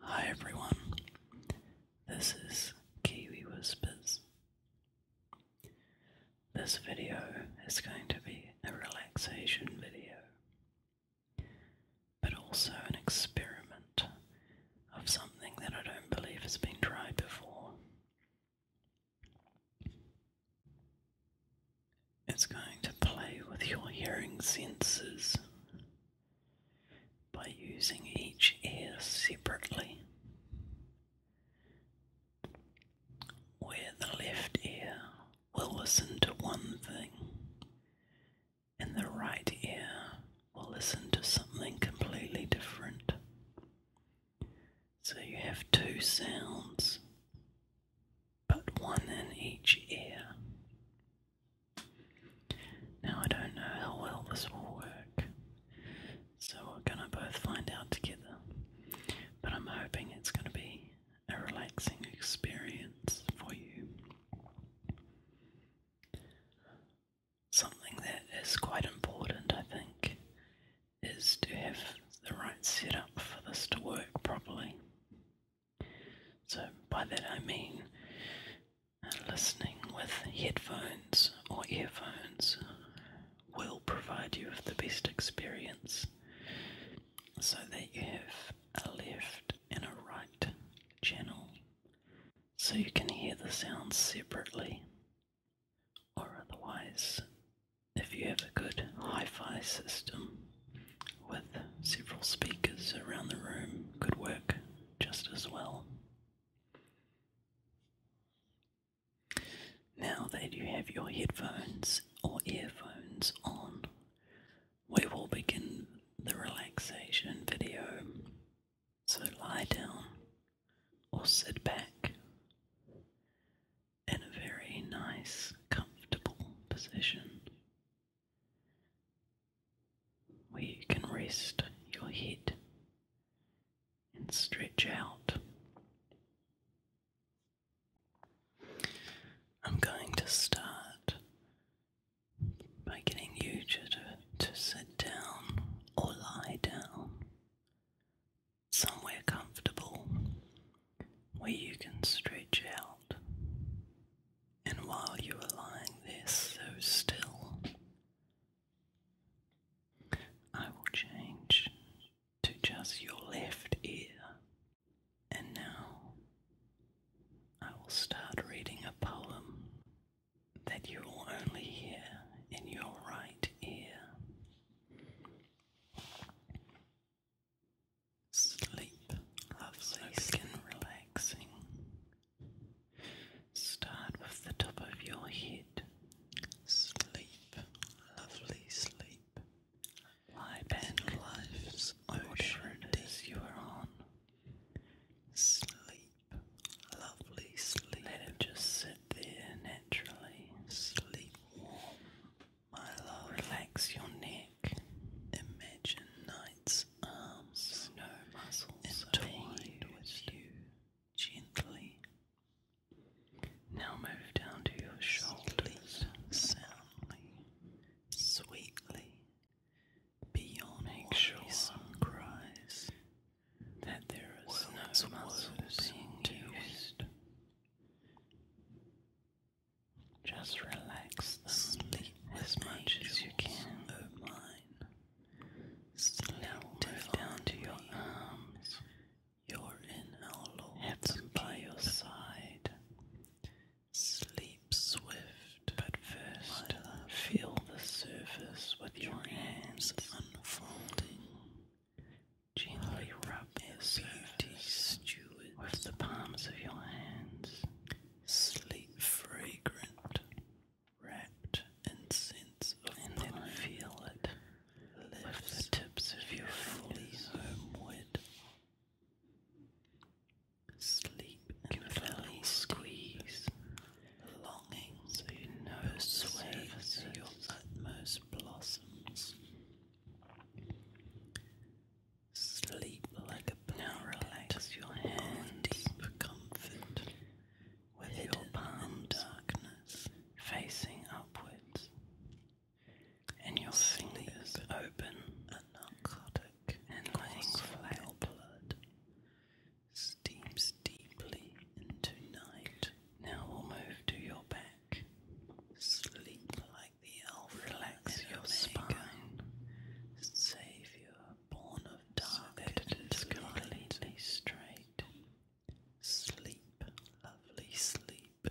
Hi everyone, this is Kiwi Whispers. This video is going to be a relaxation video, but also an experiment of something that I don't believe has been tried before. It's going to play with your hearing senses by using each ear separately. Where the left ear will listen to one thing, and the right ear will listen to something completely different. So you have two sounds but one in each ear. Now, I don't know how well this will work, so we're gonna both find out together, but I'm hoping it's gonna be a relaxing experience for you. Something that is quite important, I think, is to have the right setup for this to work properly. So, by that I mean uh, listening with headphones or earphones will provide you with the best experience so that you have a left and a right channel so you can hear the sounds separately or otherwise. If you have a good hi fi system, with several speakers around the room could work just as well. Now that you have your headphones or earphones on, we will begin the relaxation video. So lie down or sit back in a very nice, comfortable position where you can rest your head and stretch out. I'm going to start by getting you to, to sit down or lie down somewhere comfortable where you can stretch out. And while you are lying there so still, I will change to just your left ear. And now I will start reading a poem that you will only hear in your right ear. Sleep, lovely skin relaxing. Start with the top of your head. Sleep, lovely sleep. Lie back, life's ocean it is you are on. Sleep, lovely sleep. Let it just sit there naturally. Sleep Milo, relax your neck. Imagine Knight's arms, um, entwined with you gently. Now move down to your shoulders, soundly, sweetly, beyond Make sure some cries that no muscle being used. Just relax the sleep as much as you can. Of mine. Slowly down to your arms. You're in our by your side. Sleep swift, but first feel the surface with your, hands unfolding. Gently rub the surface. Stew with the palms of your hands, sleep fragrant, wrapped in and then feel it lift the tips of your fully homeward. Sleep in a belly squeeze, longing so you know persuades your utmost blossoms. Sleep like a pillow. relax your hands in deep comfort with your palm darkness facing upwards and your Sleep fingers open and narcotic and letting flat blood steams deeply into night. Now we'll move to your back. Sleep like like the elf relax your spine, savior born of dark and completely straight. Sleep, lovely sleep,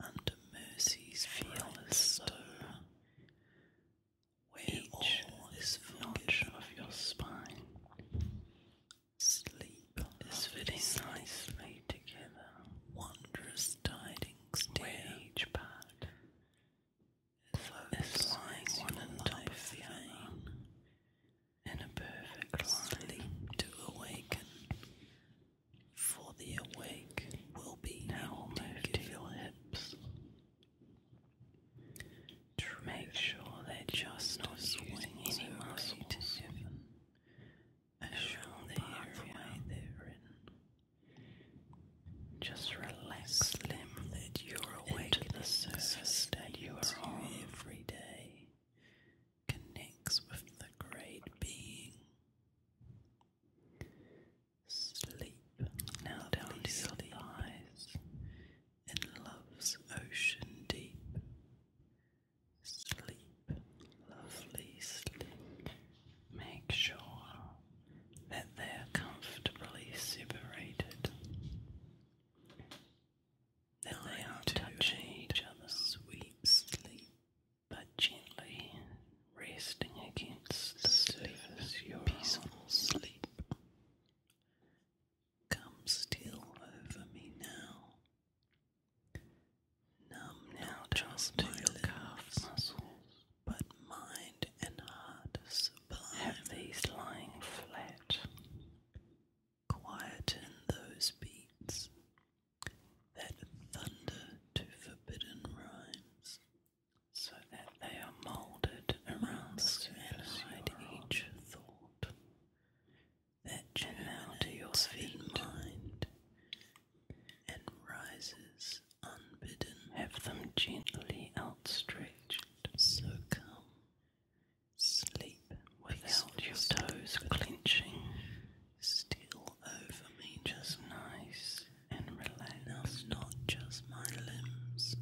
under mercy's fearless stir, where Each is notch of your spine. Sleep is very nicely together, wondrous tidings to each part is lying one on top in a perfect sleep to awaken, for the awake will be now moved to your hips. To make sure they're just not swing any muscle Show the area they're in. Just relax Slim. that you're awake into the surface that you are every day. Connects with the great being. Sleep now down to your thighs in love's ocean deep. Sleep, lovely sleep. Make sure that they're comfortably separated, that they aren't touching each other. Sweet sleep, but gently resting against the peaceful sleep. Come still over me now. Numb now trust to your calves, muscles, but mind and heart sublime. Have these lying flat. Quieten those beats that thunder to forbidden rhymes, so that they are moulded around the inside each thought. That and now to your feet mind and rises unbidden. Have them gently outstretched, so come. Sleep without your toes clenching. Still over me just nice and relax. Not just my limbs,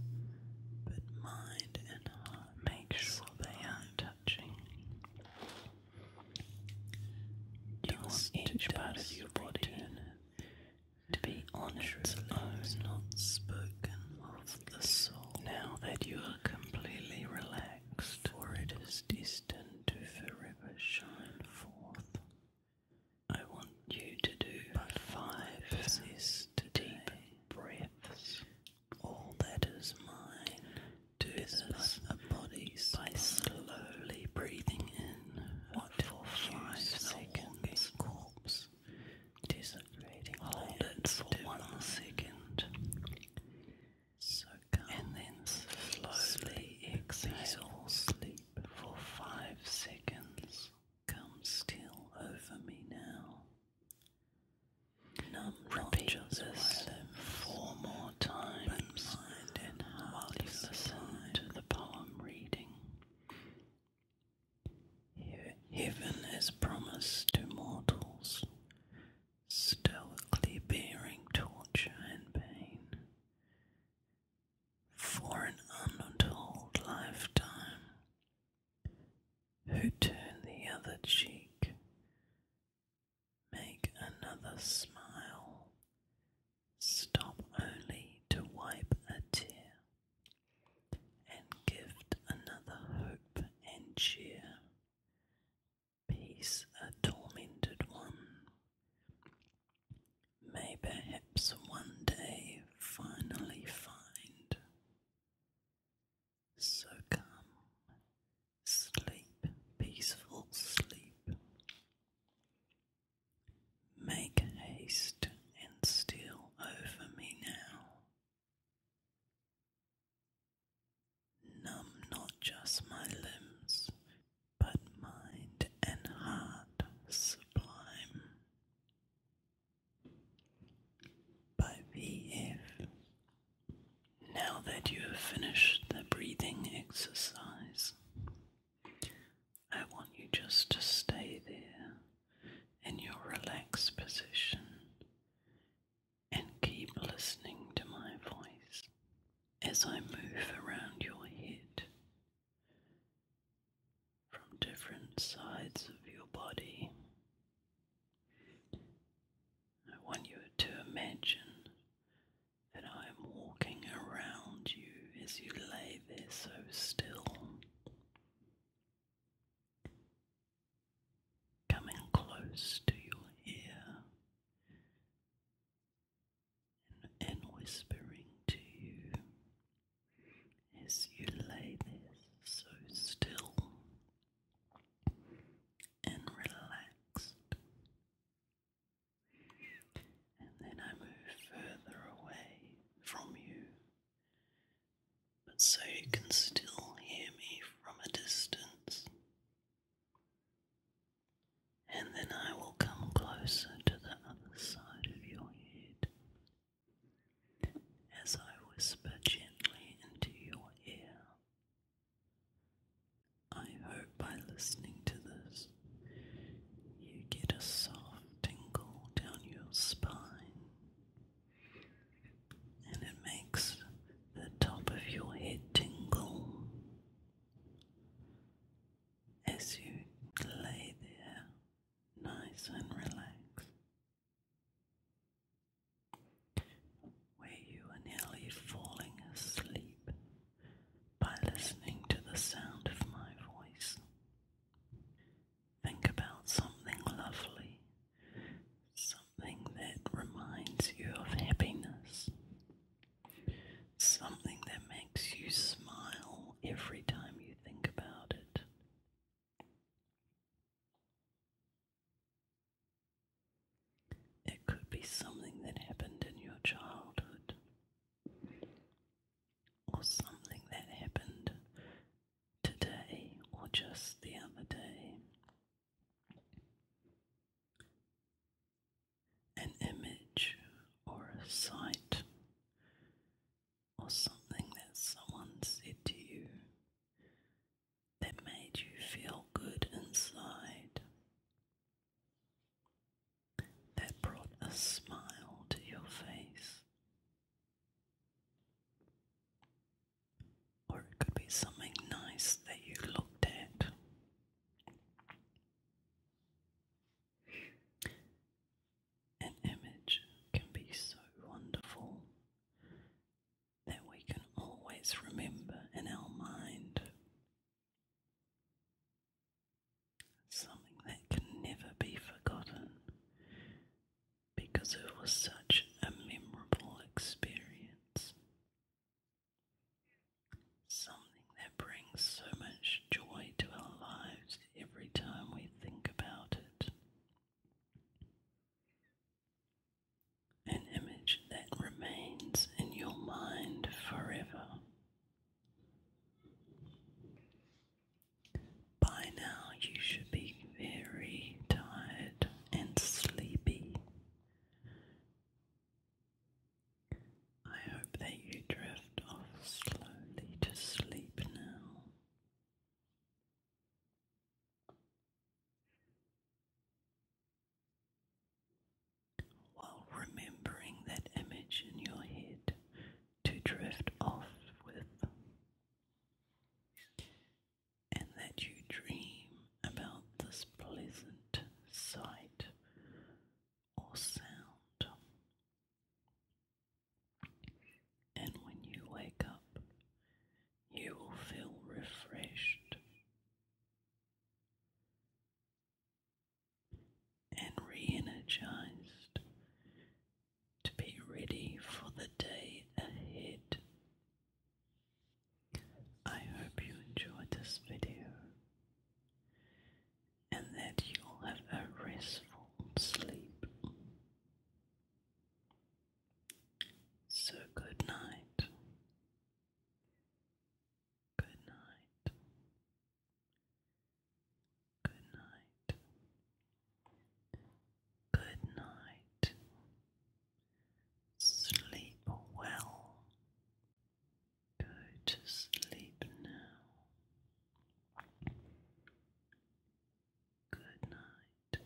but mind and heart. Make sure they aren't touching. You each part of your body to be on its own, not spoken of the soul. Now that you are completely relaxed, for it is destined to forever shine forth. I want you to do but five possessed deep breaths. All that is mine do this a body by slowly breathing in what for five seconds. Corpse disintegrating. Hold it for one second. So and then slowly exhale. Sleep for five seconds. Come still over me now. Repeat four more times while you listen to the poem reading. Heaven is promised to mortals, stoically bearing torture and pain. For an untold lifetime, who turned the other cheek, Make another smile. Stop only to wipe a tear, and give another hope and cheer. Peace a tormented one. May perhaps one day finally find. So come, sleep, peaceful sleep. Make haste and steal over me now. Numb not just my limbs, but mind and heart sublime. By V.F. Now that you have finished the breathing exercise, I want you just to stay there in your relaxed position and keep listening to my voice as I move around your head from different sides of your body. I want you to imagine that I am walking around you as you lay there so still. Coming close to your ear and, whispering to you as you lay there so still and relaxed and then I move further away from you, but so you can still hear me from a distance. And then I will come closer to the other side of your head as I whisper gently into your ear. I hope by listening to this, you get a soft tingle down your spine, and it makes the top of your head tingle as you lay there nice and relaxed where you are nearly falling asleep by listening to the sound of my voice. Think about something lovely, something that reminds you of happiness, something that makes you smile every time you think about it. It could be something that happened in your childhood, or something that happened today, or just the other day. An image or a sight or something that someone said to you that made you feel good inside, that brought a smile to your face. Or it could be something nice that you looked at. An image can be so wonderful that we can always remember in our mind. Something that can never be forgotten because it was such a memorable experience. Something that brings so much joy to our lives every time we think about it an image that remains in your mind forever. By now, you should be very tired and sleepy. I hope that you drift off slowly to sleep now while remembering that image in your head to drift off with, and that you dream about this pleasant sight or sound. And when you wake up, you will feel refreshed and re energized to be ready for the day ahead. I hope you enjoyed this video and that you'll have a restful sleep. So, good night. Good night. Good night. Good night. Sleep well. Go to sleep now. Good night.